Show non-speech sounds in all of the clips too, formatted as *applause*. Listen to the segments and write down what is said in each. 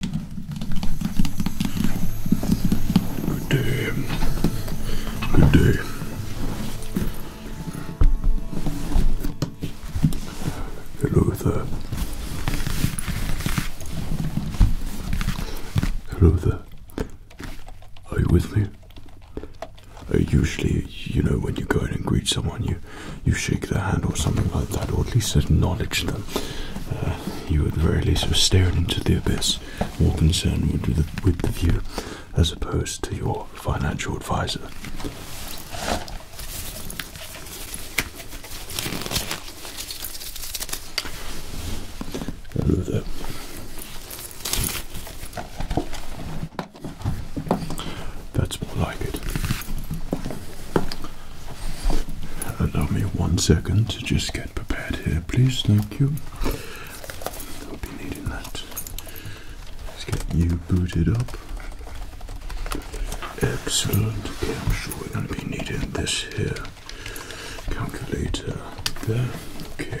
Good day. Good day. Hello there. Hello there. Are you with me? usually, you know, when you go in and greet someone, you you shake their hand or something like that, or at least acknowledge them. Uh, you at the very least were staring into the abyss, more concerned with the, view as opposed to your financial advisor. That's more like it. Allow me one second to just get prepared here, please. Thank you. I'll be needing that. Let's get you booted up. Excellent. Okay, I'm sure we're going to be needing this here calculator there. Okay.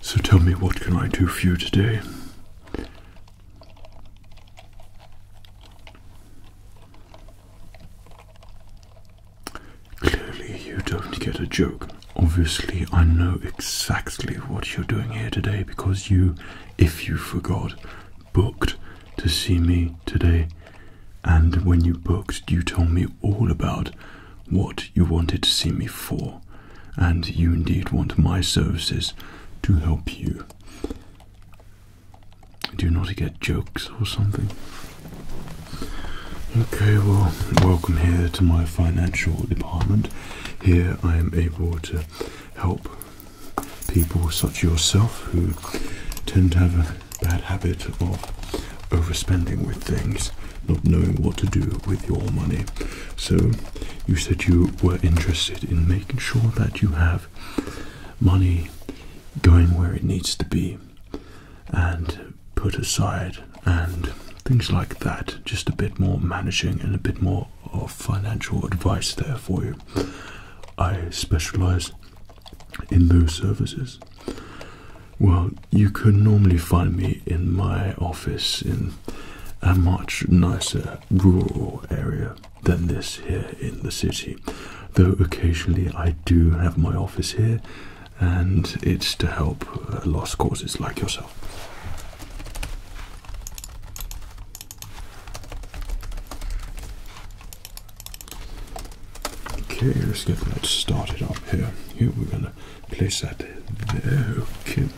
So tell me, what can I do for you today? Clearly, you don't get a joke. Obviously, I know exactly what you're doing here today because you, if you forgot, booked to see me today. And when you booked, you told me all about what you wanted to see me for. And you indeed want my services to help you. Do not get jokes or something. Okay, well, welcome here to my financial department. Here I am able to help people such as yourself who tend to have a bad habit of overspending with things, not knowing what to do with your money. So, you said you were interested in making sure that you have money going where it needs to be and put aside and things like that. Just a bit more managing and a bit more of financial advice there for you. I specialize in those services? Well, you can normally find me in my office in a much nicer rural area than this here in the city. Though occasionally I do have my office here, and it's to help lost causes like yourself. Okay, let's get that started up here. Here we're gonna place that there. Okay,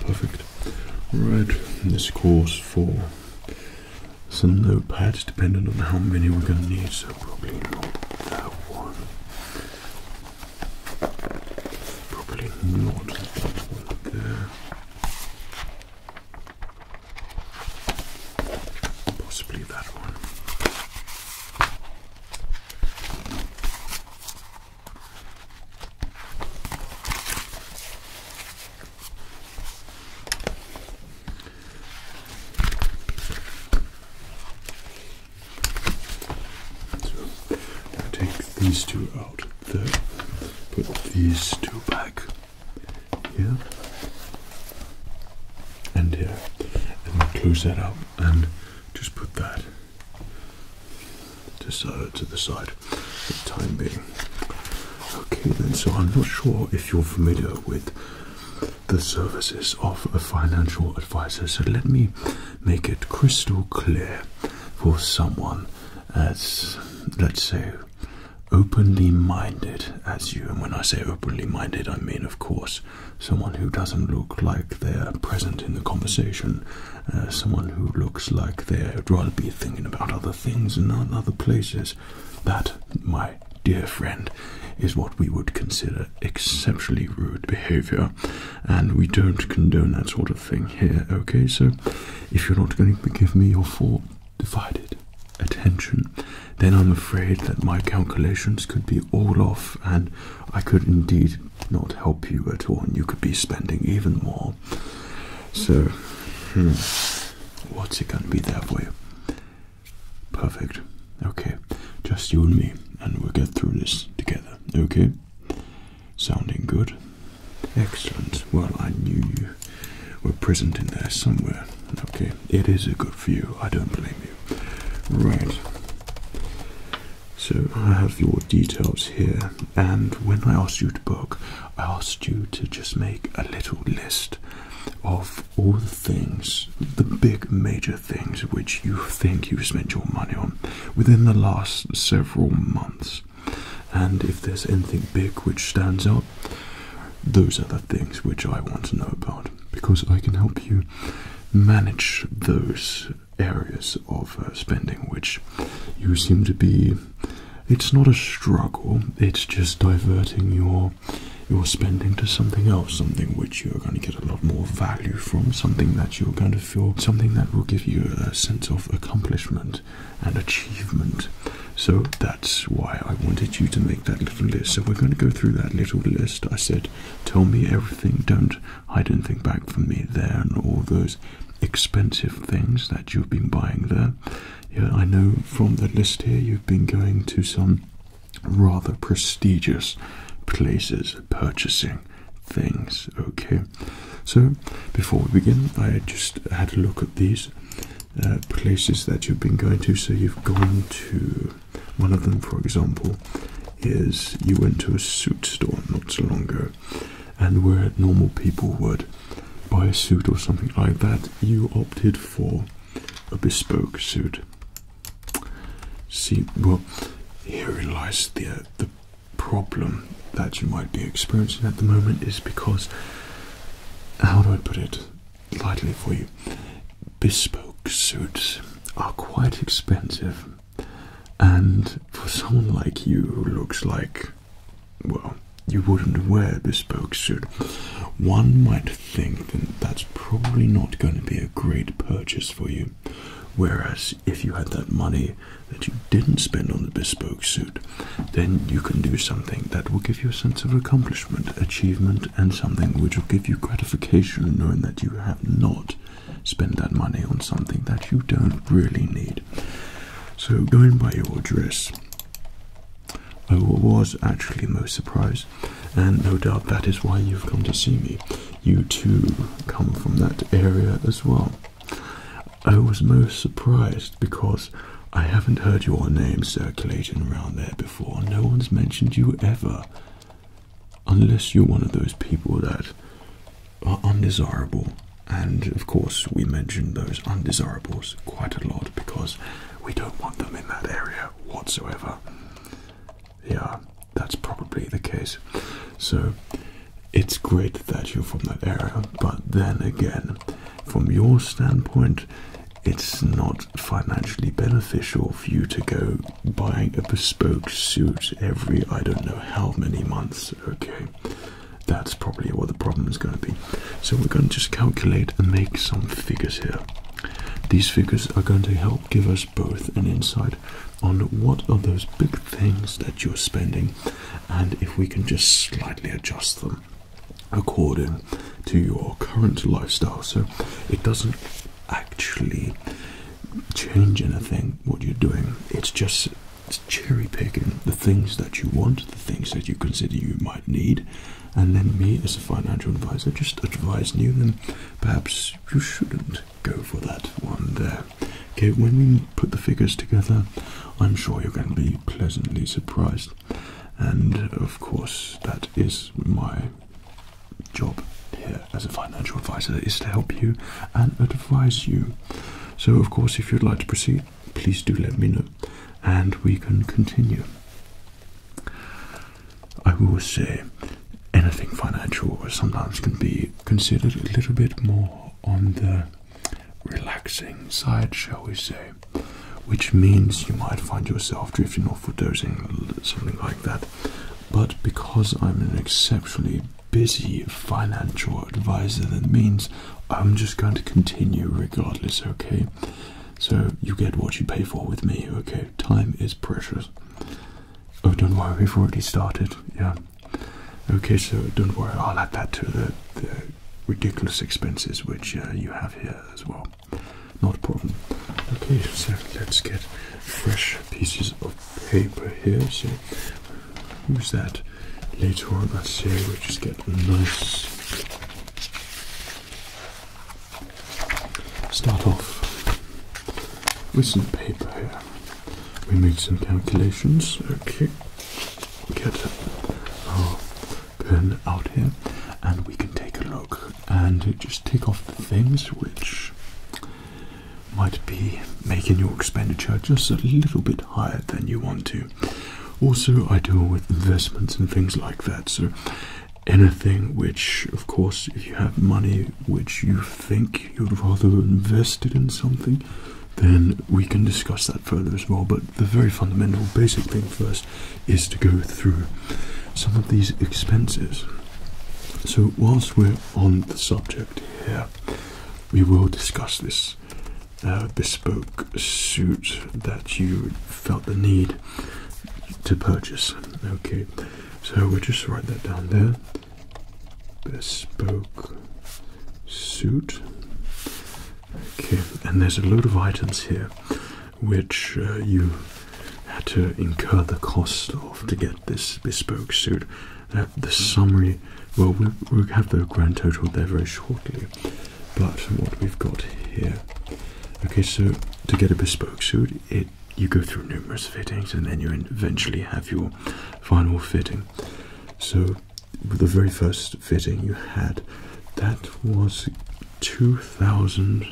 perfect. Right, this calls for some notepads, depending on how many we're gonna need. So probably not that one. Probably not that one there. Possibly that one. So take these two out there, put these two back here and here. And we'll close that up and just put that to, so, to the side for the time being. Okay then, so I'm not sure if you're familiar with the services of a financial advisor, so let me make it crystal clear for someone as, let's say, openly minded as you. And when I say openly minded, I mean, of course, someone who doesn't look like they're present in the conversation, uh, someone who looks like they'd rather be thinking about other things and other places. That, my dear friend, is what we would consider exceptionally rude behavior, and we don't condone that sort of thing here, okay? So, if you're not going to give me your full divided attention, then I'm afraid that my calculations could be all off and I could indeed not help you at all, and you could be spending even more. So, hmm, what's it going to be there for you? Perfect. Okay, just you and me, and we'll get through this together, okay? Sounding good? Excellent. Well, I knew you were present in there somewhere. Okay, it is a good view. I don't blame you. Right. So I have your details here, and when I asked you to book, I asked you to just make a little list of all the things, the big major things which you think you've spent your money on within the last several months and if there's anything big which stands out, those are the things which I want to know about because I can help you manage those areas of uh, spending which you seem to be it's not a struggle it's just diverting your your spending to something else something which you're going to get a lot more value from something that you're going to feel something that will give you a sense of accomplishment and achievement. So that's why I wanted you to make that little list. So we're going to go through that little list. I said, tell me everything, don't hide anything back from me there, and all those expensive things that you've been buying there. Yeah, I know from the list here you've been going to some rather prestigious places purchasing things. Okay, so before we begin, I just had a look at these uh, places that you've been going to. So you've gone to one of them, for example, is you went to a suit store not so long ago, and where normal people would buy a suit or something like that, you opted for a bespoke suit. See, well, herein lies the uh, the problem that you might be experiencing at the moment is because how do I put it lightly for you? Bespoke suits are quite expensive, and for someone like you who looks like, well, you wouldn't wear a bespoke suit, one might think that that's probably not going to be a great purchase for you. Whereas if you had that money that you didn't spend on the bespoke suit, then you can do something that will give you a sense of accomplishment, achievement, and something which will give you gratification knowing that you have not spent that money on something that you don't really need. So, going by your dress, I was actually most surprised, and no doubt that is why you've come to see me. You too come from that area as well. I was most surprised because I haven't heard your name circulating around there before. No one's mentioned you ever. Unless you're one of those people that are undesirable. And of course, we mention those undesirables quite a lot because we don't want them in that area whatsoever. Yeah, that's probably the case. So it's great that you're from that area, but then again, from your standpoint, it's not financially beneficial for you to go buying a bespoke suit every I don't know how many months. Okay, that's probably what the problem is going to be. So, we're going to just calculate and make some figures here. These figures are going to help give us both an insight on what are those big things that you're spending and if we can just slightly adjust them according to your current lifestyle. So it doesn't actually change anything what you're doing. It's just cherry picking the things that you want, the things that you consider you might need, and then me as a financial advisor just advise you then perhaps you shouldn't go for that one there. Okay, when we put the figures together, I'm sure you're going to be pleasantly surprised and of course that is my job here as a financial advisor is to help you and advise you. So of course if you'd like to proceed, please do let me know and we can continue. I will say anything financial sometimes can be considered a little bit more on the relaxing side, shall we say, which means you might find yourself drifting off or dozing, something like that. But because I'm an exceptionally busy financial advisor, that means I'm just going to continue regardless, okay? So you get what you pay for with me, okay? Time is precious. Oh, don't worry, we've already started, yeah. Okay, so don't worry, I'll add that to the the ridiculous expenses which uh, you have here as well. Not a problem. Okay, so let's get fresh pieces of paper here. So use that later on. I say we just get nice. Start off with some paper here. We make some calculations. Okay, get bin out here and we can take a look and just take off things which might be making your expenditure just a little bit higher than you want to. Also, I deal with investments and things like that, so anything which, of course, if you have money which you think you'd rather invested in something, then we can discuss that further as well. But the very fundamental, basic thing first is to go through some of these expenses. So, whilst we're on the subject here, we will discuss this uh, bespoke suit that you felt the need to purchase. Okay, so we'll just write that down there. Bespoke suit Okay, and there's a load of items here which uh, you had to incur the cost of to get this bespoke suit. Uh, the summary, well, we we have the grand total there very shortly, but what we've got here. Okay, so to get a bespoke suit, it you go through numerous fittings and then you eventually have your final fitting. So the very first fitting you had, that was 2,000.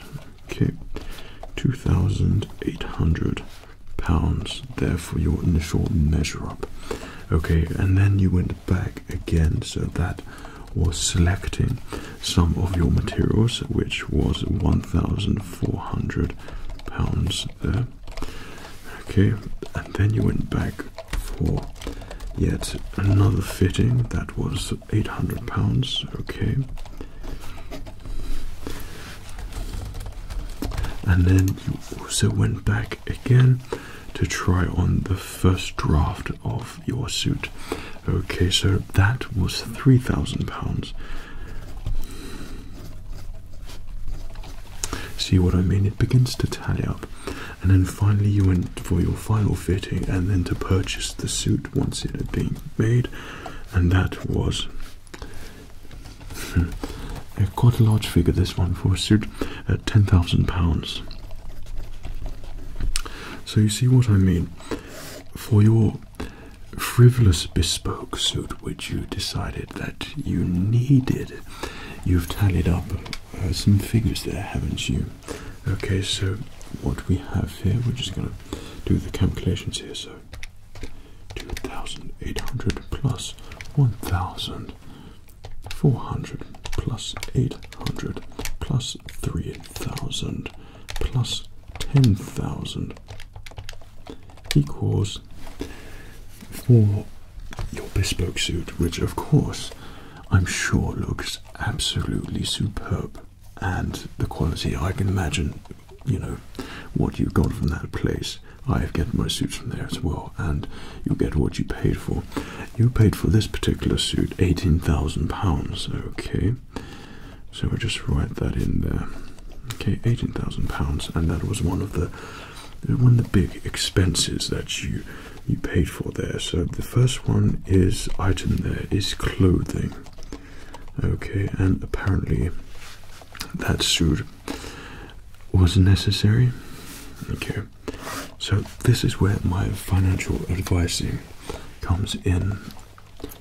Okay, 2,800 pounds there for your initial measure up. Okay, and then you went back again, so that was selecting some of your materials, which was 1,400 pounds there. Okay, and then you went back for yet another fitting that was 800 pounds okay and then you also went back again to try on the first draft of your suit okay so that was 3000 pounds see what i mean it begins to tally up and then finally you went for your final fitting and then to purchase the suit once it had been made and that was *laughs* quite a large figure this one for a suit at ten thousand pounds so you see what I mean for your frivolous bespoke suit which you decided that you needed you've tallied up uh, some figures there haven't you Okay, so what we have here, we're just going to do the calculations here. So 2,800 plus 1,400 plus 800 plus 3,000 plus 10,000 equals for your bespoke suit, which of course I'm sure looks absolutely superb. And the quality, I can imagine, you know, what you got from that place. I have get my suits from there as well, and you get what you paid for. You paid for this particular suit eighteen thousand pounds. Okay, so I just write that in there. Okay, eighteen thousand pounds, and that was one of the one of the big expenses that you you paid for there. So the first one is item there is clothing. Okay, and apparently that suit was necessary. Okay, so this is where my financial advising comes in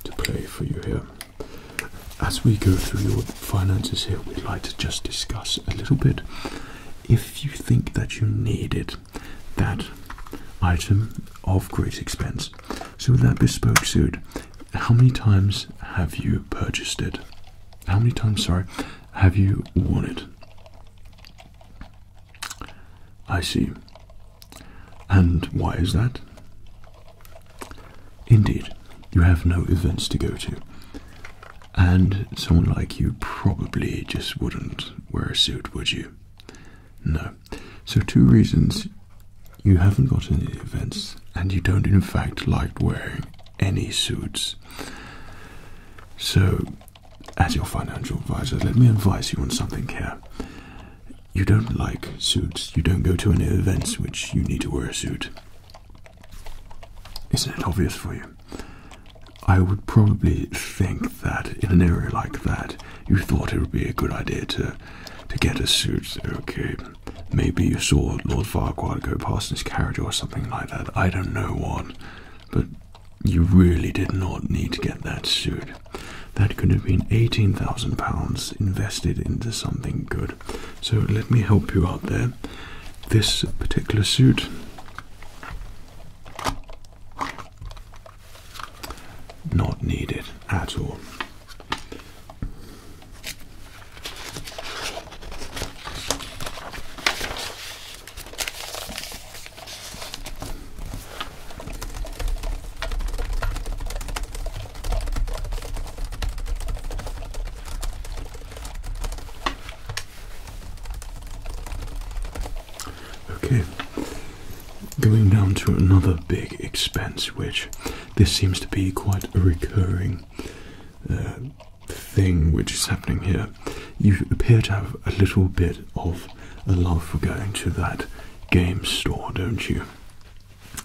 to play for you here. As we go through your finances here, we'd like to just discuss a little bit. If you think that you need it, that item of great expense. So that bespoke suit, how many times have you purchased it? How many times, sorry, have you worn it? I see. And why is that? Indeed, you have no events to go to. And someone like you probably just wouldn't wear a suit, would you? No. So, two reasons you haven't got any events, and you don't, in fact, like wearing any suits. So, as your financial advisor, let me advise you on something here. You don't like suits, you don't go to any events which you need to wear a suit. Isn't it obvious for you? I would probably think that in an area like that, you thought it would be a good idea to to get a suit. Okay, maybe you saw Lord Farquhar go past in his carriage or something like that. I don't know what, but you really did not need to get that suit. That could have been eighteen thousand pounds invested into something good. So let me help you out there. This particular suit not needed at all. Okay, going down to another big expense, which this seems to be quite a recurring uh, thing which is happening here. You appear to have a little bit of a love for going to that game store, don't you?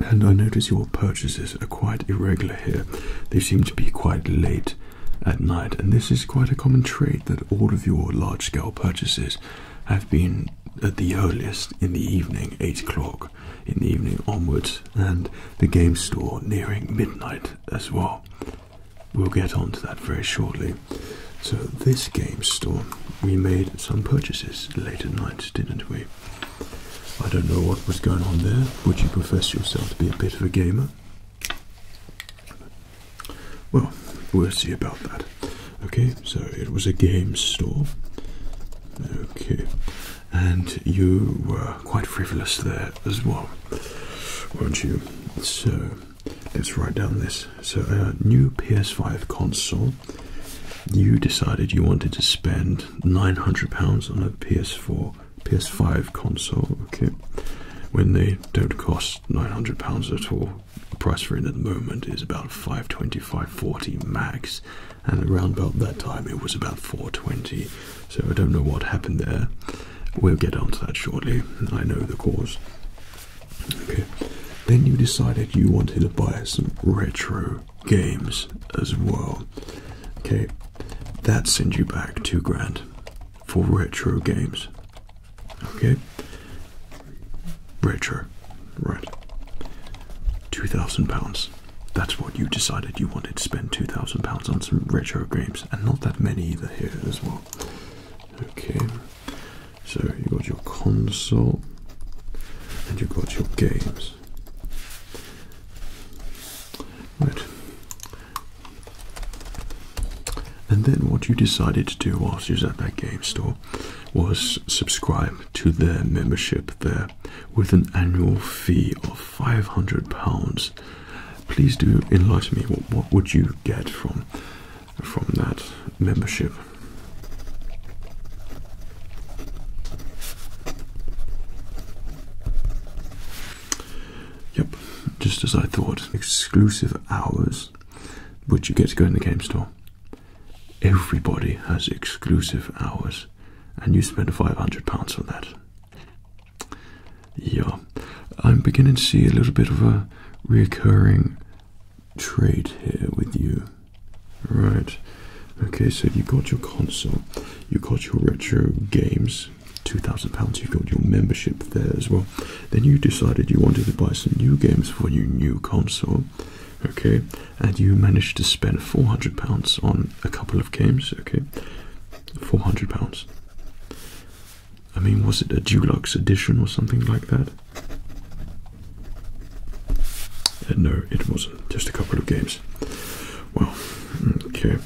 And I notice your purchases are quite irregular here. They seem to be quite late at night, and this is quite a common trait that all of your large scale purchases have been at the earliest in the evening, 8 o'clock in the evening onwards, and the game store nearing midnight as well. We'll get on to that very shortly. So, this game store, we made some purchases late at night, didn't we? I don't know what was going on there. Would you profess yourself to be a bit of a gamer? Well, we'll see about that. Okay, so it was a game store. Okay, and you were quite frivolous there as well, weren't you? So let's write down this. So, a new PS5 console. You decided you wanted to spend £900 on a PS4, PS5 console, okay, when they don't cost £900 at all. The price for it at the moment is about 525 40 max, and around about that time it was about 420. So I don't know what happened there. We'll get onto that shortly. I know the cause. Okay. Then you decided you wanted to buy some retro games as well. Okay. That sends you back two grand for retro games. Okay. Retro, Right. Two thousand pounds. That's what you decided you wanted to spend two thousand pounds on some retro games, and not that many either here as well. Okay. So you got your console and you got your games. Right. And then what you decided to do whilst you was at that game store was subscribe to their membership there with an annual fee of five hundred pounds. Please do enlighten me. What, what would you get from from that membership? Yep, just as I thought. Exclusive hours, which you get to go in the game store. Everybody has exclusive hours, and you spend £500 on that. Yeah, I'm beginning to see a little bit of a reoccurring trade here with you. Right, okay, so you got your console, you got your retro games, two thousand pounds, you got your membership there as well. Then you decided you wanted to buy some new games for your new console, okay, and you managed to spend four hundred pounds on a couple of games, okay, four hundred pounds. I mean, was it a deluxe edition or something like that? Uh, no, it wasn't. Just a couple of games. Well, okay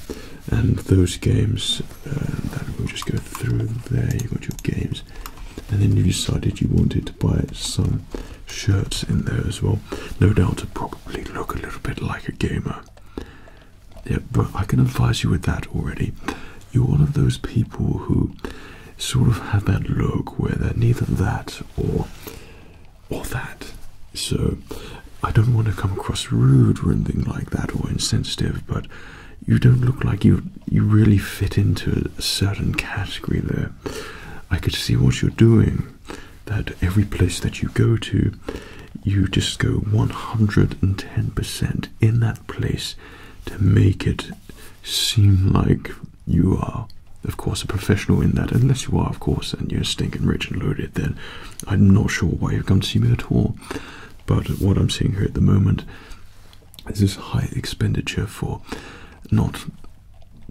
and those games uh, that will just go through there you have got your games and then you decided you wanted to buy some shirts in there as well no doubt to probably look a little bit like a gamer yeah but i can advise you with that already you're one of those people who sort of have that look where they're neither that or or that so i don't want to come across rude or anything like that or insensitive but you don't look like you you really fit into a certain category there. I could see what you're doing. That every place that you go to, you just go 110% in that place to make it seem like you are, of course, a professional in that. Unless you are, of course, and you're stinking rich and loaded, then I'm not sure why you've come to see me at all but what I'm seeing here at the moment is this high expenditure for not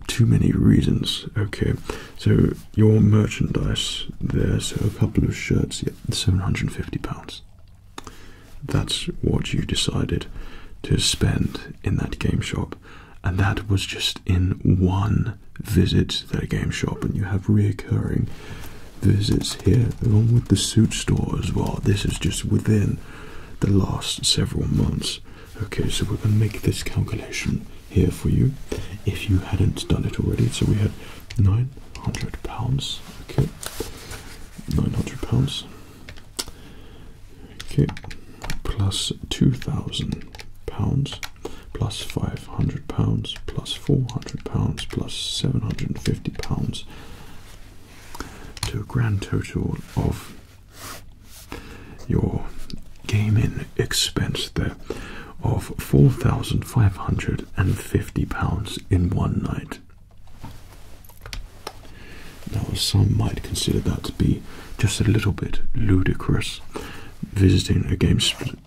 too many reasons. Okay, so your merchandise there, so a couple of shirts, yeah, £750. That's what you decided to spend in that game shop, and that was just in one visit to that game shop, and you have reoccurring visits here, along with the suit store as well. This is just within the last several months. Okay, so we're going to make this calculation here for you if you hadn't done it already. So we had £900. Okay, £900. Okay, £2,000, £500, £400, £750, to a grand total of your gaming expense there of four thousand five hundred and fifty pounds in one night. Now, some might consider that to be just a little bit ludicrous, visiting a game,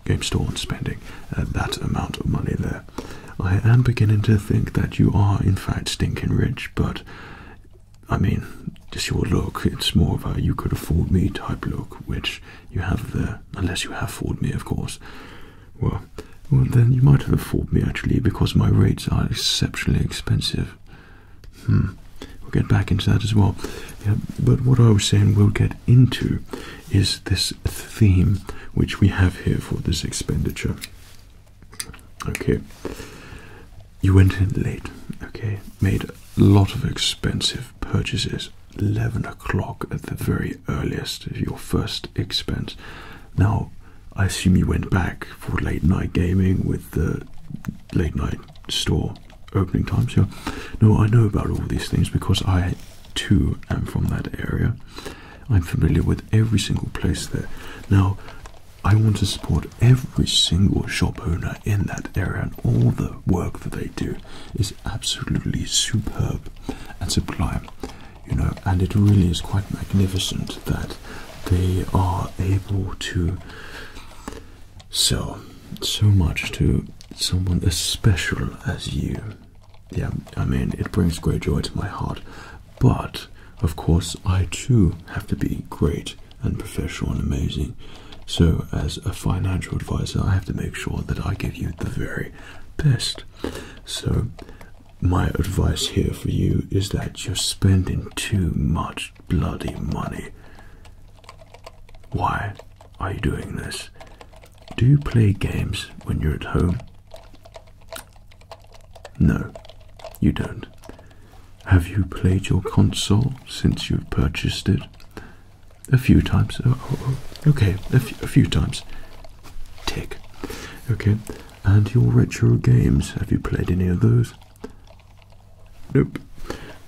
game store and spending uh, that amount of money there. I am beginning to think that you are, in fact, stinking rich, but I mean, just your look, it's more of a you could afford me type look, which you have there, unless you have afford me, of course. Well, then you might have afforded me actually, because my rates are exceptionally expensive. Hmm. We'll get back into that as well. but what I was saying we'll get into is this theme which we have here for this expenditure. Okay, you went in late, okay, made a lot of expensive purchases. 11 o'clock at the very earliest, your first expense. Now, I assume you went back for late night gaming with the late night store opening time. So, no, I know about all these things because I too am from that area. I'm familiar with every single place there. Now, I want to support every single shop owner in that area, and all the work that they do is absolutely superb and sublime, you know. And it really is quite magnificent that they are able to sell so much to someone as special as you yeah, I mean, it brings great joy to my heart. But of course, I too have to be great and professional and amazing. So, as a financial advisor, I have to make sure that I give you the very best. So, my advice here for you is that you're spending too much bloody money. Why are you doing this? Do you play games when you're at home? No, you don't. Have you played your console since you have purchased it? A few times. Oh, oh, oh. okay, a, few times. Tick. Okay, and your retro games. Have you played any of those? Nope.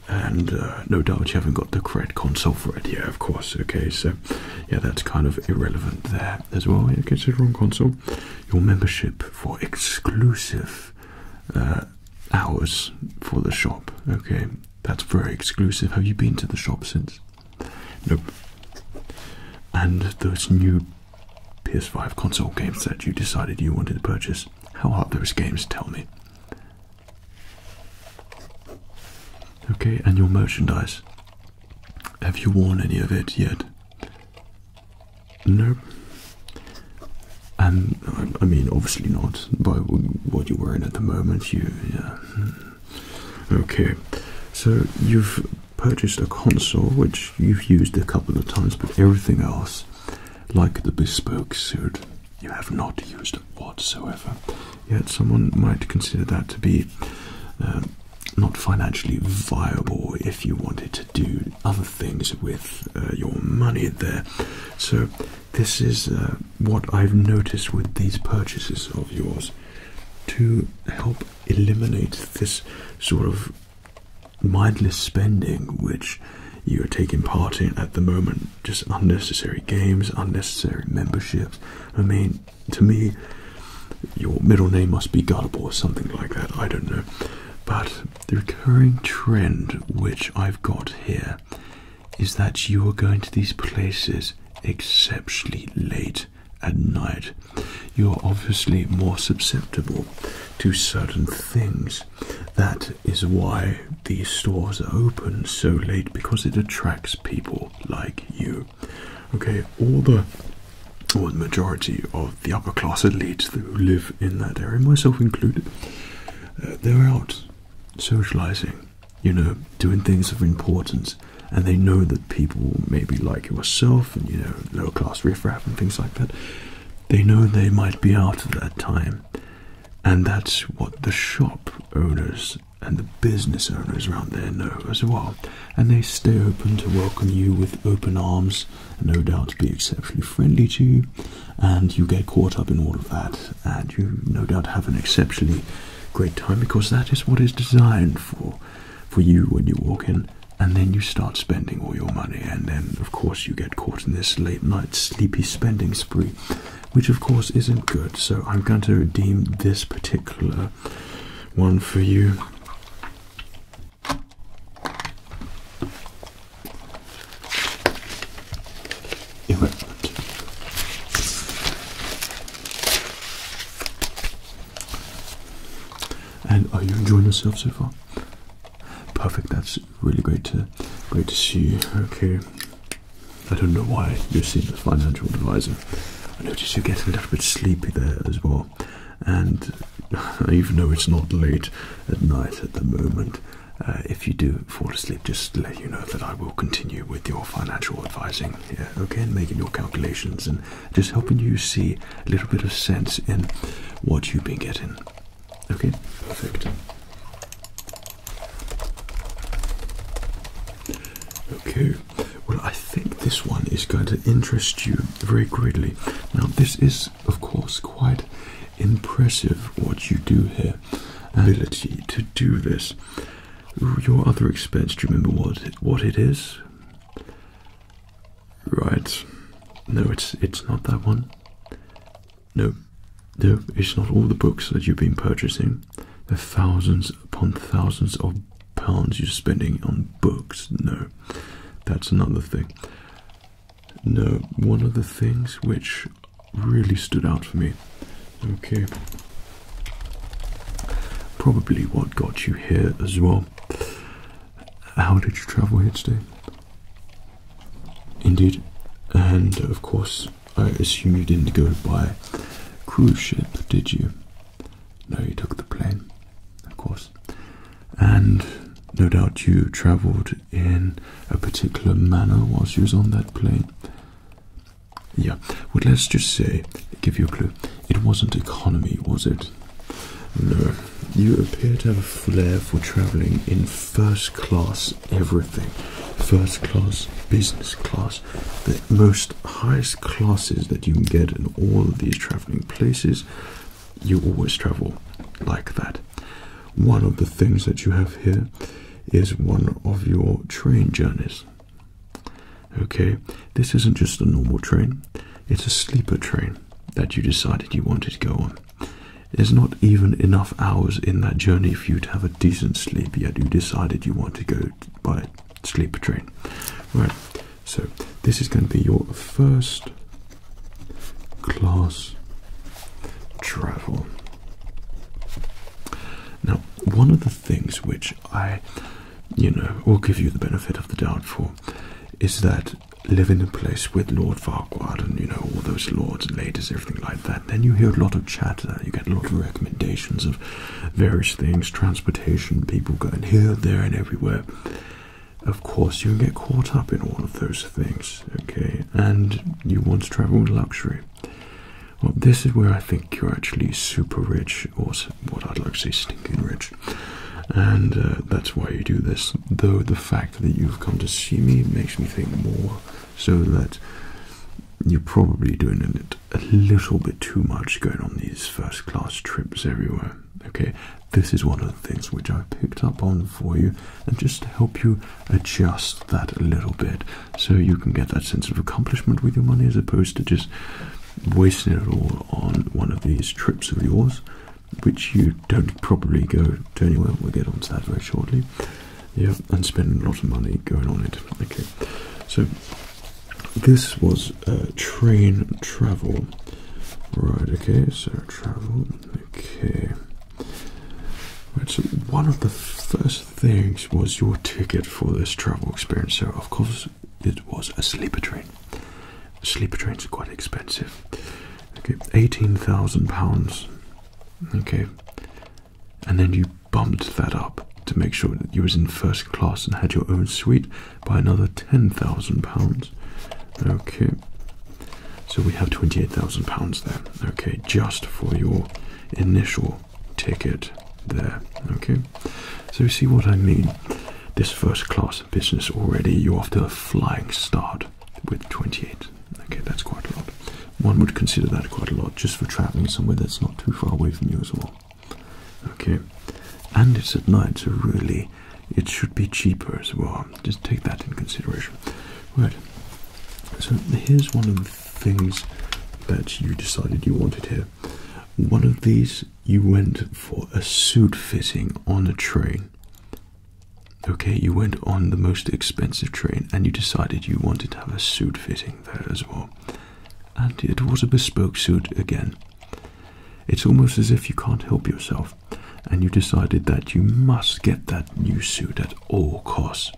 And uh, no doubt you haven't got the correct console for it. Yeah, of course. Okay, so yeah, that's kind of irrelevant there as well. Yeah, consider on console your membership for exclusive uh, hours for the shop. Okay, that's very exclusive. Have you been to the shop since? Nope. And those new PS5 console games that you decided you wanted to purchase, how are those games? Tell me. Okay, and your merchandise. Have you worn any of it yet? No. And I mean, obviously not by what you're wearing at the moment. You, yeah. Hmm. Okay, so you've purchased a console which you've used a couple of times, but everything else, like the bespoke suit, you have not used whatsoever. Yet someone might consider that to be uh, not financially viable if you wanted to do other things with uh, your money there. So, this is uh, what I've noticed with these purchases of yours to help eliminate this sort of mindless spending which you are taking part in at the moment. Just unnecessary games, unnecessary memberships. I mean, to me, your middle name must be Gullible or something like that. I don't know. But the recurring trend which I've got here is that you are going to these places exceptionally late at night. You're obviously more susceptible to certain things. That is why these stores are open so late because it attracts people like you. Okay, all the or the majority of the upper class elites who live in that area, myself included, uh, they're out socializing, you know, doing things of importance, and they know that people maybe like yourself and you know lower class riffraff and things like that. They know they might be out at that time, and that's what the shop owners and the business owners around there know as well, and they stay open to welcome you with open arms, and no doubt be exceptionally friendly to you, and you get caught up in all of that, and you no doubt have an exceptionally great time because that is what is designed for for you when you walk in and then you start spending all your money and then of course you get caught in this late night sleepy spending spree which of course isn't good so i'm going to redeem this particular one for you. Equipment. And are you enjoying yourself so far? Perfect. That's really great to great to see Okay. I don't know why you're seeing a financial advisor. I notice you're getting a little bit sleepy there as well, and *laughs* even though it's not late at night at the moment, uh, if you do fall asleep, just let you know that I will continue with your financial advising here, okay, and making your calculations and just helping you see a little bit of sense in what you've been getting. Okay, perfect. Okay, well, I think this one is going to interest you very greatly. Now, this is, of course, quite impressive what you do here. Ability to do this. Your other expense, do you remember what what it is? Right. No, it's it's not that one. No, no, it's not all the books that you've been purchasing the thousands upon thousands of pounds you're spending on books. No, that's another thing. No, one of the things which really stood out for me. Okay. Probably what got you here as well. How did you travel here today? Indeed. And of course, I assume you didn't go by cruise ship, did you? No, you took the plane, of course. And no doubt you travelled in a particular manner whilst you was on that plane. Yeah, well, let's just say, give you a clue, it wasn't economy, was it? No, you appear to have a flair for travelling in first class everything. First class, business class, the most highest classes that you can get in all of these traveling places, you always travel like that. One of the things that you have here is one of your train journeys. Okay, this isn't just a normal train, it's a sleeper train that you decided you wanted to go on. There's not even enough hours in that journey for you to have a decent sleep, yet you decided you want to go by sleeper train. Right, so this is going to be your first class travel. Now, one of the things which I, you know, will give you the benefit of the doubt for is that living in a place with Lord Farquhar and, you know, all those lords and ladies, everything like that, then you hear a lot of chatter, you get a lot of recommendations of various things, transportation, people going here, there, and everywhere. Of course, you get caught up in all of those things, okay? And you want to travel in luxury. Well, this is where I think you're actually super rich, or what I'd like to say, stinking rich. And uh, that's why you do this. Though the fact that you've come to see me makes me think more so that you're probably doing it a little bit too much going on these first class trips everywhere. Okay, this is one of the things which I picked up on for you and just to help you adjust that a little bit so you can get that sense of accomplishment with your money as opposed to just wasting it all on one of these trips of yours, which you don't probably go to anywhere. We'll get onto that very shortly. Yeah, and spend a lot of money going on it. Okay, so this was uh, train travel. Right, okay, so travel, okay. Right, so one of the first things was your ticket for this travel experience. So, of course, it was a sleeper train. Sleeper trains are quite expensive. Okay, £18,000. Okay, and then you bumped that up to make sure that you was in first class and had your own suite by another ten thousand pounds. Okay. So we have twenty-eight thousand pounds there. Okay, just for your initial ticket there. Okay. So you see what I mean? This first class business already you're off to a flying start with twenty-eight. Okay, that's quite a lot. One would consider that quite a lot just for traveling somewhere that's not too far away from you as well. Okay, and it's at night, so really it should be cheaper as well. Just take that in consideration. Right, so here's one of the things that you decided you wanted here. One of these you went for a suit fitting on a train. Okay, you went on the most expensive train and you decided you wanted to have a suit fitting there as well and it was a bespoke suit again. It's almost as if you can't help yourself, and you decided that you must get that new suit at all costs,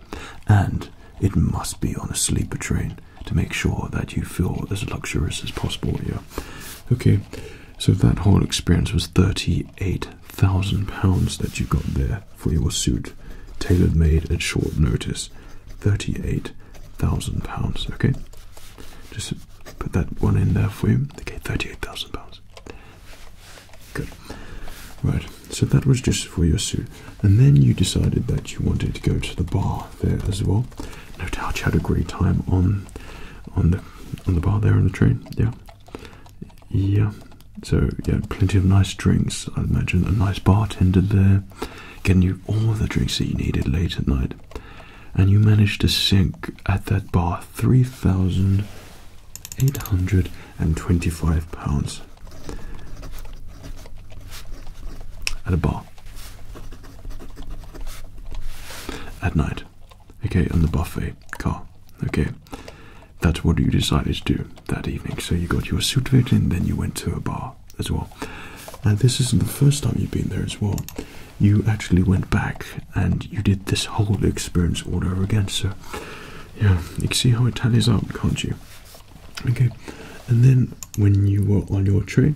and it must be on a sleeper train to make sure that you feel as luxurious as possible. Yeah, okay. So that whole experience was thirty-eight thousand pounds that you got there for your suit, tailored made at short notice. £38,000. Okay, just put that one in there for you. Okay, £38,000. Good. Right, so that was just for your suit. And then you decided that you wanted to go to the bar there as well. No doubt you had a great time on on the on the bar there on the train. Yeah. Yeah. So yeah, plenty of nice drinks. I imagine a nice bartender there know, getting you all the drinks that you needed late at night. And you managed to sink at that bar three thousand eight hundred and twenty-five pounds at a bar at night. Okay, on the buffet car. Okay, that's what you decided to do that evening. So you got your suit fit and then you went to a bar as well. and this isn't the first time you've been there as well. You actually went back and you did this whole experience all over again. So, yeah, you can see how it tallies up, can't you? Okay, and then when you were on your trip,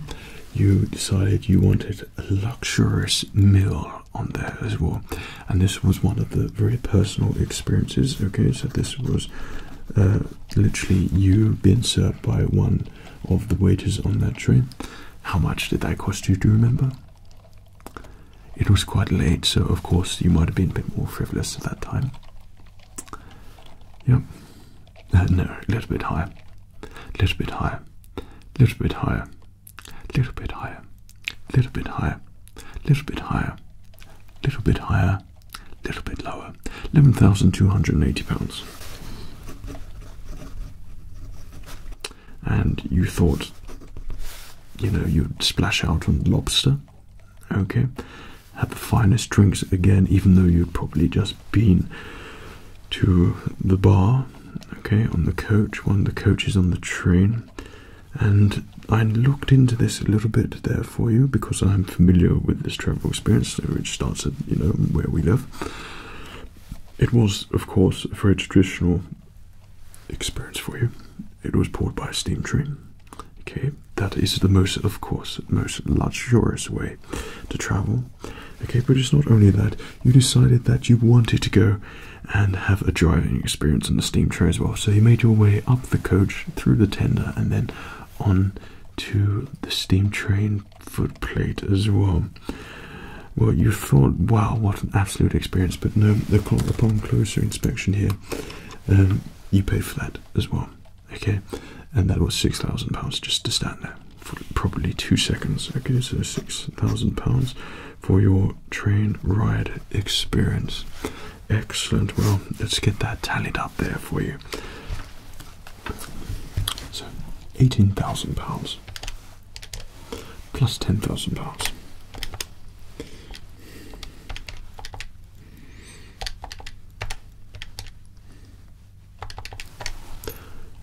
you decided you wanted a luxurious meal on there as well, and this was one of the very personal experiences. Okay, so this was uh, literally you being served by one of the wages on that train. How much did that cost you? Do you remember? It was quite late, so of course you might have been a bit more frivolous at that time. Yep. Uh, no, a little bit higher. A little bit higher. A little bit higher. A little bit higher. A little bit higher. A little bit higher. A little bit higher. A little bit lower, £11,280. And you thought, you know, you'd splash out on lobster, okay? Have the finest drinks again, even though you'd probably just been to the bar, okay, on the coach, one of the coaches on the train. And I looked into this a little bit there for you because I'm familiar with this travel experience, which starts at you know where we live. It was, of course, a very traditional experience for you. It was poured by a steam train. Okay, that is the most, of course, most luxurious way to travel. Okay, but it's not only that you decided that you wanted to go and have a driving experience on the steam train as well. So you made your way up the coach through the tender and then on to the steam train Footplate as well. Well, you thought, wow, what an absolute experience, but no, upon closer inspection here, um, you paid for that as well. Okay, and that was six thousand pounds just to stand there for probably two seconds. Okay, so six thousand pounds for your train ride experience. Excellent. Well, let's get that tallied up there for you. So eighteen thousand pounds plus ten thousand pounds.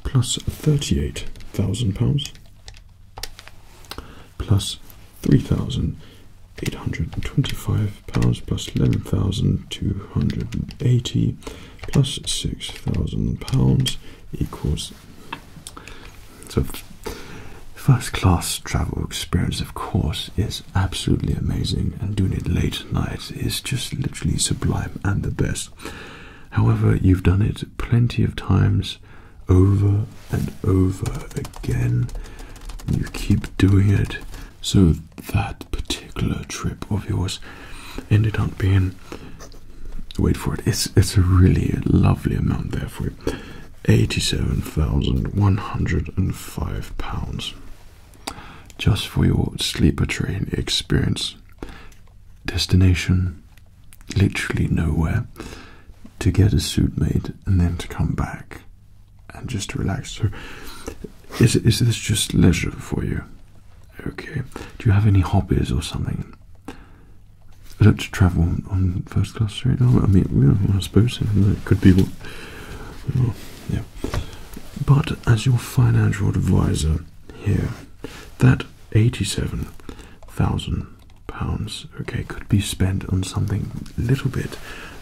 Plus thirty-eight thousand pounds, plus three thousand eight hundred and twenty-five pounds plus eleven thousand two hundred and eighty plus six thousand pounds equals so first class travel experience of course is absolutely amazing and doing it late at night is just literally sublime and the best however you've done it plenty of times over and over again you keep doing it so that particular trip of yours ended up being wait for it it's it's a really lovely amount there for you 87,105 pounds just for your sleeper train experience destination literally nowhere to get a suit made and then to come back and just relax so is, is this just leisure for you Okay. Do you have any hobbies or something? I do travel on, first class right now. Oh, I mean, I suppose it could be. yeah. But as your financial advisor here, that eighty-seven thousand pounds, okay, could be spent on something a little bit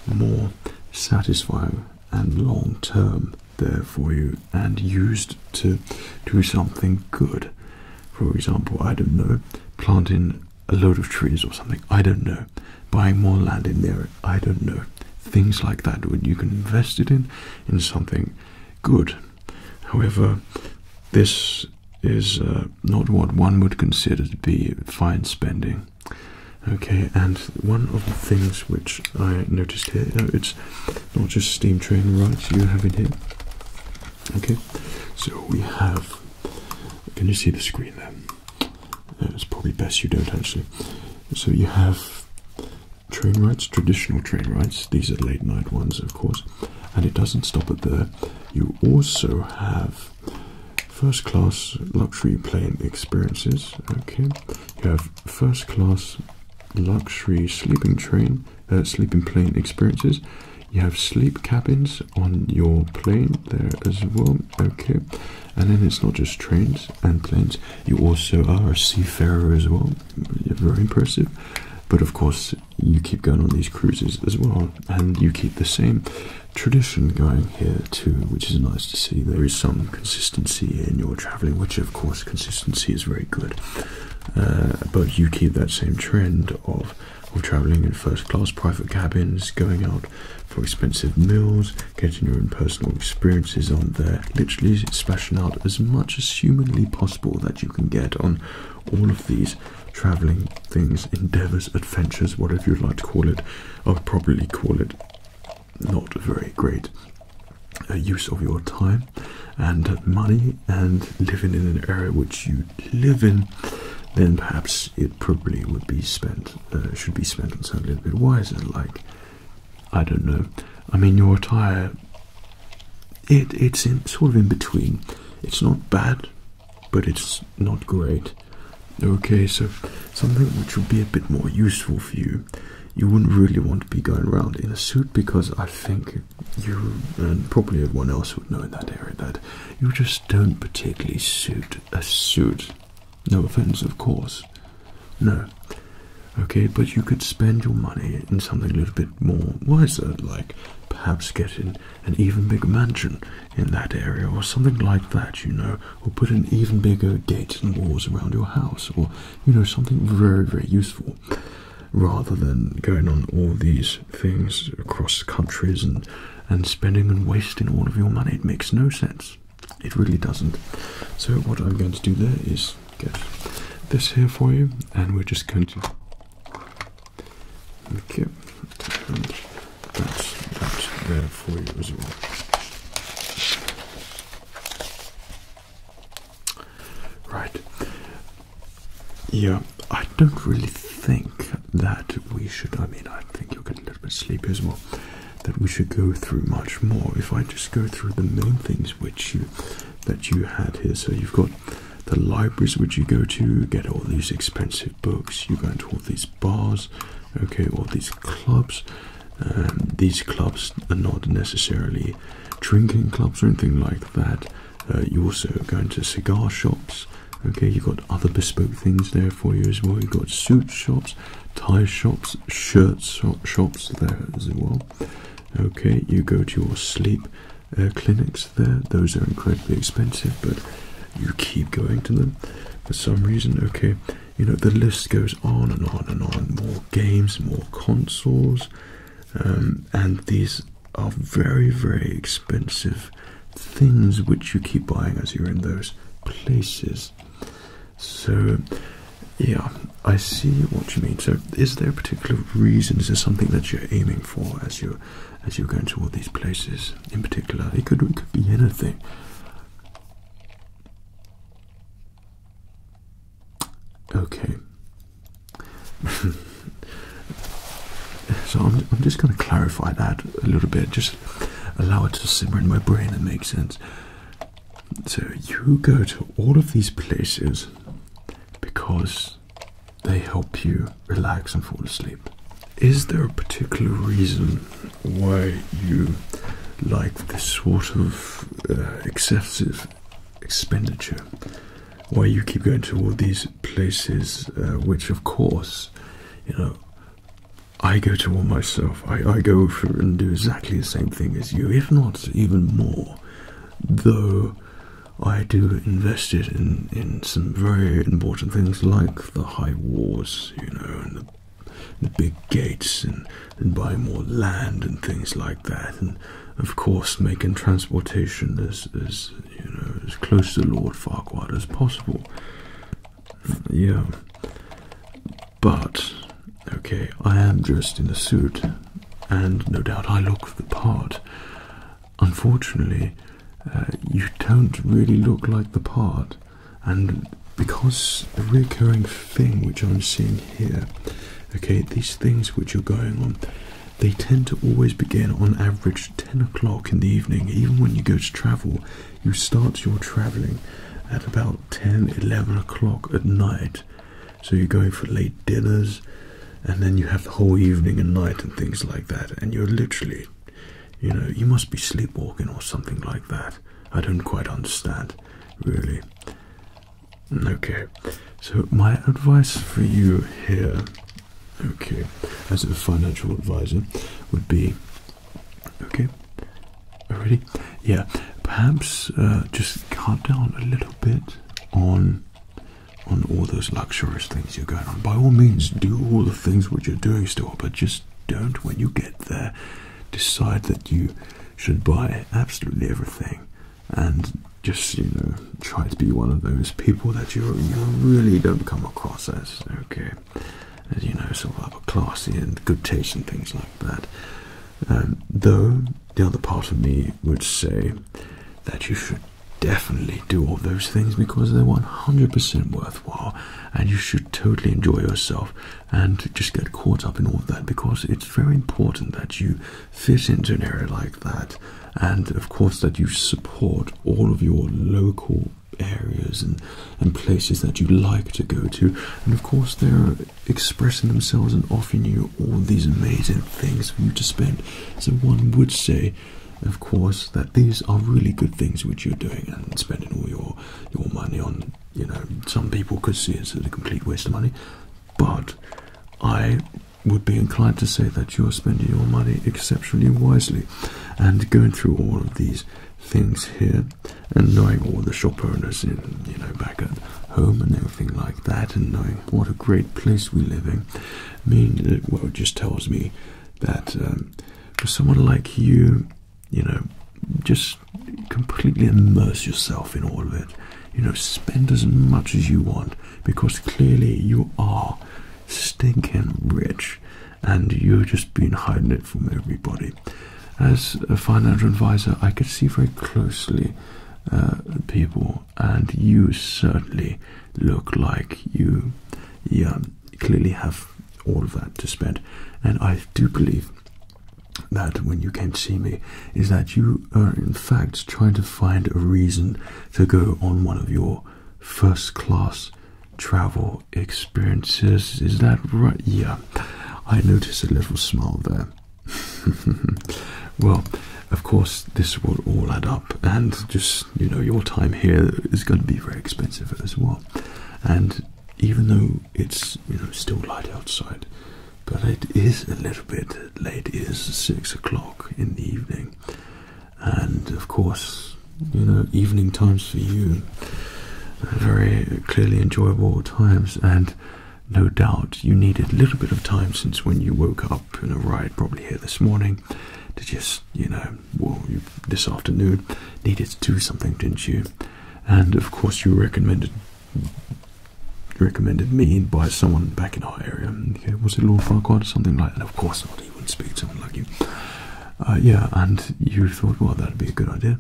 more satisfying and long term there for you and used to do something good. For example, I don't know, planting a load of trees or something, I don't know, buying more land in there, I don't know. Things like that, what you can invest it in, in something good. However, this is uh, not what one would consider to be fine spending. Okay, and one of the things which I noticed here, it's not just steam train rides you have in here. Okay, so we have. Can you see the screen there? Uh, it's probably best you don't actually. So you have train rides, traditional train rides. These are late night ones, of course, and it doesn't stop at there. You also have first class luxury plane experiences. Okay, you have first class luxury sleeping train, uh, sleeping plane experiences. You have sleep cabins on your plane there as well. Okay, and then it's not just trains and planes. You also are a seafarer as well. Very impressive. But of course, you keep going on these cruises as well, and you keep the same tradition going here too, which is nice to see. There is some consistency in your traveling, which of course, consistency is very good. Uh, but you keep that same trend of of traveling in first class private cabins, going out for expensive meals, getting your own personal experiences on there, literally splashing out as much as humanly possible that you can get on all of these traveling things, endeavors, adventures, whatever you'd like to call it. i would probably call it not a very great uh, use of your time and money and living in an area which you live in then perhaps it probably would be spent uh, should be spent on something a little bit wiser like i don't know i mean your attire it, it's in, sort of in between it's not bad but it's not great okay so something which would be a bit more useful for you you wouldn't really want to be going around in a suit because I think you and probably everyone else would know in that area that you just don't particularly suit a suit. No offense, of course. No. Okay, but you could spend your money in something a little bit more wiser, like perhaps getting an even bigger mansion in that area or something like that, you know, or put an even bigger gate and walls around your house or you know something very very useful rather than going on all these things across countries and and spending and wasting all of your money it makes no sense it really doesn't so what i'm going to do there is get this here for you and we're just going to okay that's that there for you as well Right. Yeah, I don't really think that we should. I mean, I think you'll get a little bit sleepy as well. That we should go through much more. If I just go through the main things which you that you had here. So you've got the libraries which you go to, get all these expensive books. You go into all these bars, okay, all these clubs. Um, these clubs are not necessarily drinking clubs or anything like that. Uh, you also go into cigar shops. Okay, you've got other bespoke things there for you as well. You've got suit shops, tie shops, shirt shops there as well. Okay, you go to your sleep uh, clinics there. Those are incredibly expensive, but you keep going to them for some reason. Okay, you know the list goes on and on and on. More games, more consoles, um, and these are very very expensive things which you keep buying as you're in those places. So, yeah, I see what you mean. So, is there a particular reason? Is there something that you're aiming for as you as you're going to all these places in particular? It could it could be anything. Okay. *laughs* so I'm, just going to clarify that a little bit, just allow it to simmer in my brain and make sense. So you go to all of these places because they help you relax and fall asleep. Is there a particular reason why you like this sort of uh, excessive expenditure, why you keep going to all these places, uh, which of course, you know, I go to all myself. I, go for and do exactly the same thing as you, if not even more, though. I do invest it in, in some very important things like the high wars, you know, and the the big gates and, and buy more land and things like that, and of course making transportation as you know as close to Lord Farquhar as possible. Yeah, but okay, I am dressed in a suit, and no doubt I look the part. Unfortunately, uh, you don't really look like the part and because the recurring thing which I'm seeing here, okay, these things which are going on, they tend to always begin on average 10 o'clock in the evening. Even when you go to travel, you start your traveling at about 10, 11 o'clock at night. So you're going for late dinners, and then you have the whole evening and night and things like that, and you're literally you know, you must be sleepwalking or something like that. I don't quite understand, really. Okay, so my advice for you here, okay, as a financial advisor, would be okay, already, yeah, perhaps uh, just cut down a little bit on on all those luxurious things you're going on. By all means, do all the things which you're doing still, but just don't when you get there decide that you should buy absolutely everything and just you know try to be one of those people that you, you really don't come across as okay as you know sort of classy and good taste and things like that um, though the other part of me would say that you should definitely do all those things because they're 100% worthwhile and you should totally enjoy yourself and just get caught up in all of that because it's very important that you fit into an area like that and of course that you support all of your local areas and, and places that you like to go to and of course they're expressing themselves and offering you all these amazing things for you to spend so one would say of course that these are really good things which you're doing and spending all your your money on you know, some people could see it as a complete waste of money, but I would be inclined to say that you're spending your money exceptionally wisely and going through all of these things here and knowing all the shop owners in you know back at home and everything like that and knowing what a great place we live in I mean it just tells me that um, for someone like you you know, just completely immerse yourself in all of it. You know, spend as much as you want because clearly you are stinking rich and you've just been hiding it from everybody. As a financial advisor, I could see very closely uh, people, and you certainly look like you, yeah, clearly have all of that to spend. And I do believe that when you came to see me is that you are in fact trying to find a reason to go on one of your first class travel experiences. Is that right? Yeah, I noticed a little smile there. *laughs* well, of course, this will all add up, and just you know, your time here is going to be very expensive as well. And even though it's you know still light outside, but it is a little bit late. It is six o'clock in the evening, and of course, you know, evening times for you very clearly enjoyable times, and no doubt you needed a little bit of time since when you woke up in a ride probably here this morning to just you know well this afternoon needed to do something didn't you and of course you recommended recommended me by someone back in our area. Okay, was it Lord Farquhar or something like that? Of course not. He wouldn't speak to someone like you. Uh, yeah, and you thought, well, that'd be a good idea.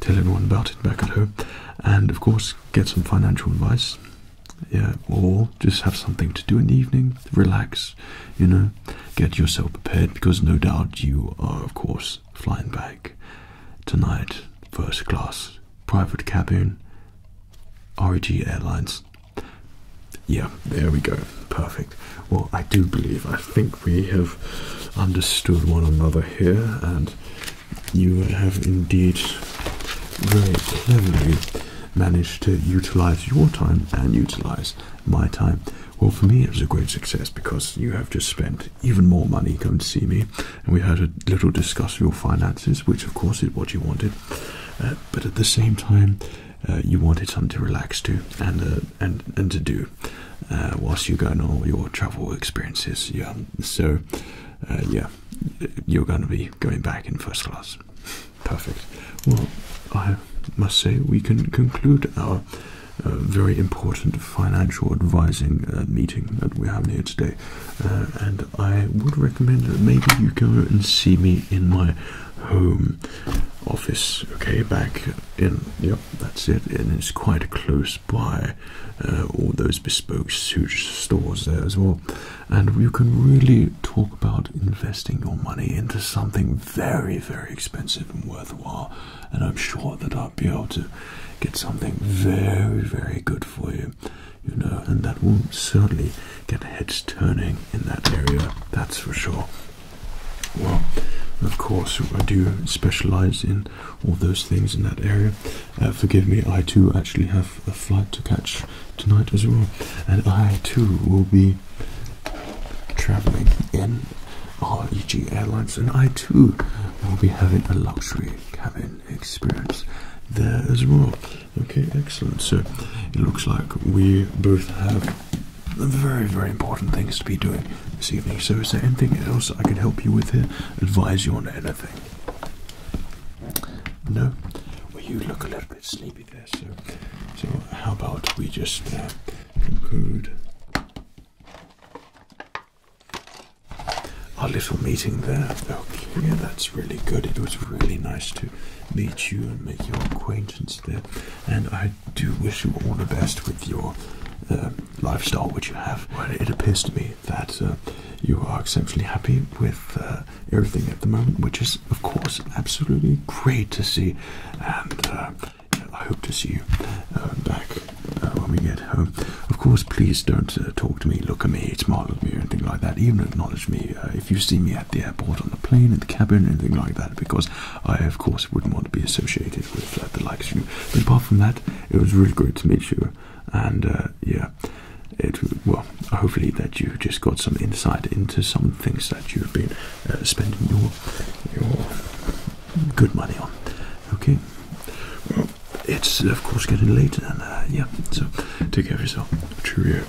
Tell everyone about it back at home, and of course, get some financial advice. Yeah, or just have something to do in the evening, relax, you know, get yourself prepared because no doubt you are, of course, flying back tonight, first class, private cabin, REG Airlines. Yeah, there we go. Perfect. Well, I do believe, I think we have understood one another here, and you have indeed very cleverly managed to utilize your time and utilize my time. Well, for me, it was a great success because you have just spent even more money, come to see me. And we had a little discuss of your finances, which of course is what you wanted. Uh, but at the same time, uh, you wanted something to relax to and uh, and and to do whilst you are going on all your travel experiences. Yeah, so yeah, you're going to be going back in first class. Perfect. Well, I must say we can conclude our uh, very important financial advising uh, meeting that we're having here today. Uh, and I would recommend that maybe you go and see me in my home office, okay, back in, yep, that's it, and it's quite close by uh, all those bespoke suit stores there as well. And you can really talk about investing your money into something very, very expensive and worthwhile and I'm sure that I'll be able to get something very, very good for you, you know, and that will certainly get heads turning in that area, that's for sure. Well, of course, I do specialize in all those things in that area. Uh, forgive me, I too actually have a flight to catch tonight as well, and I too will be traveling in REG Airlines, and I too will be having a luxury cabin experience there as well. Okay, excellent. So it looks like we both have very, very important things to be doing this evening. So, is there anything else I can help you with here? Advise you on anything? No? Well, you look a little bit sleepy there, so, so how about we just uh, conclude our little meeting there. Okay, that's really good. It was really nice to meet you and make your acquaintance there. And I do wish you all the best with your uh, lifestyle which you have. it appears to me that uh, you are exceptionally happy with uh, everything at the moment, which is, of course, absolutely great to see. And I hope to see you back uh, when we get home. Of course, please don't uh, talk to me, look at me, smile at me, or anything like that. Even acknowledge me uh, if you see me at the airport, on the plane, in the cabin, anything like that, because I, of course, wouldn't want to be associated with the likes of you. But apart from that, it was really great to meet you, and yeah. It, well, hopefully that you have just got some insight into some things that you've been spending your your good money on. Okay. it's of course getting late, and uh, yeah. So take care of yourself. Cheerio.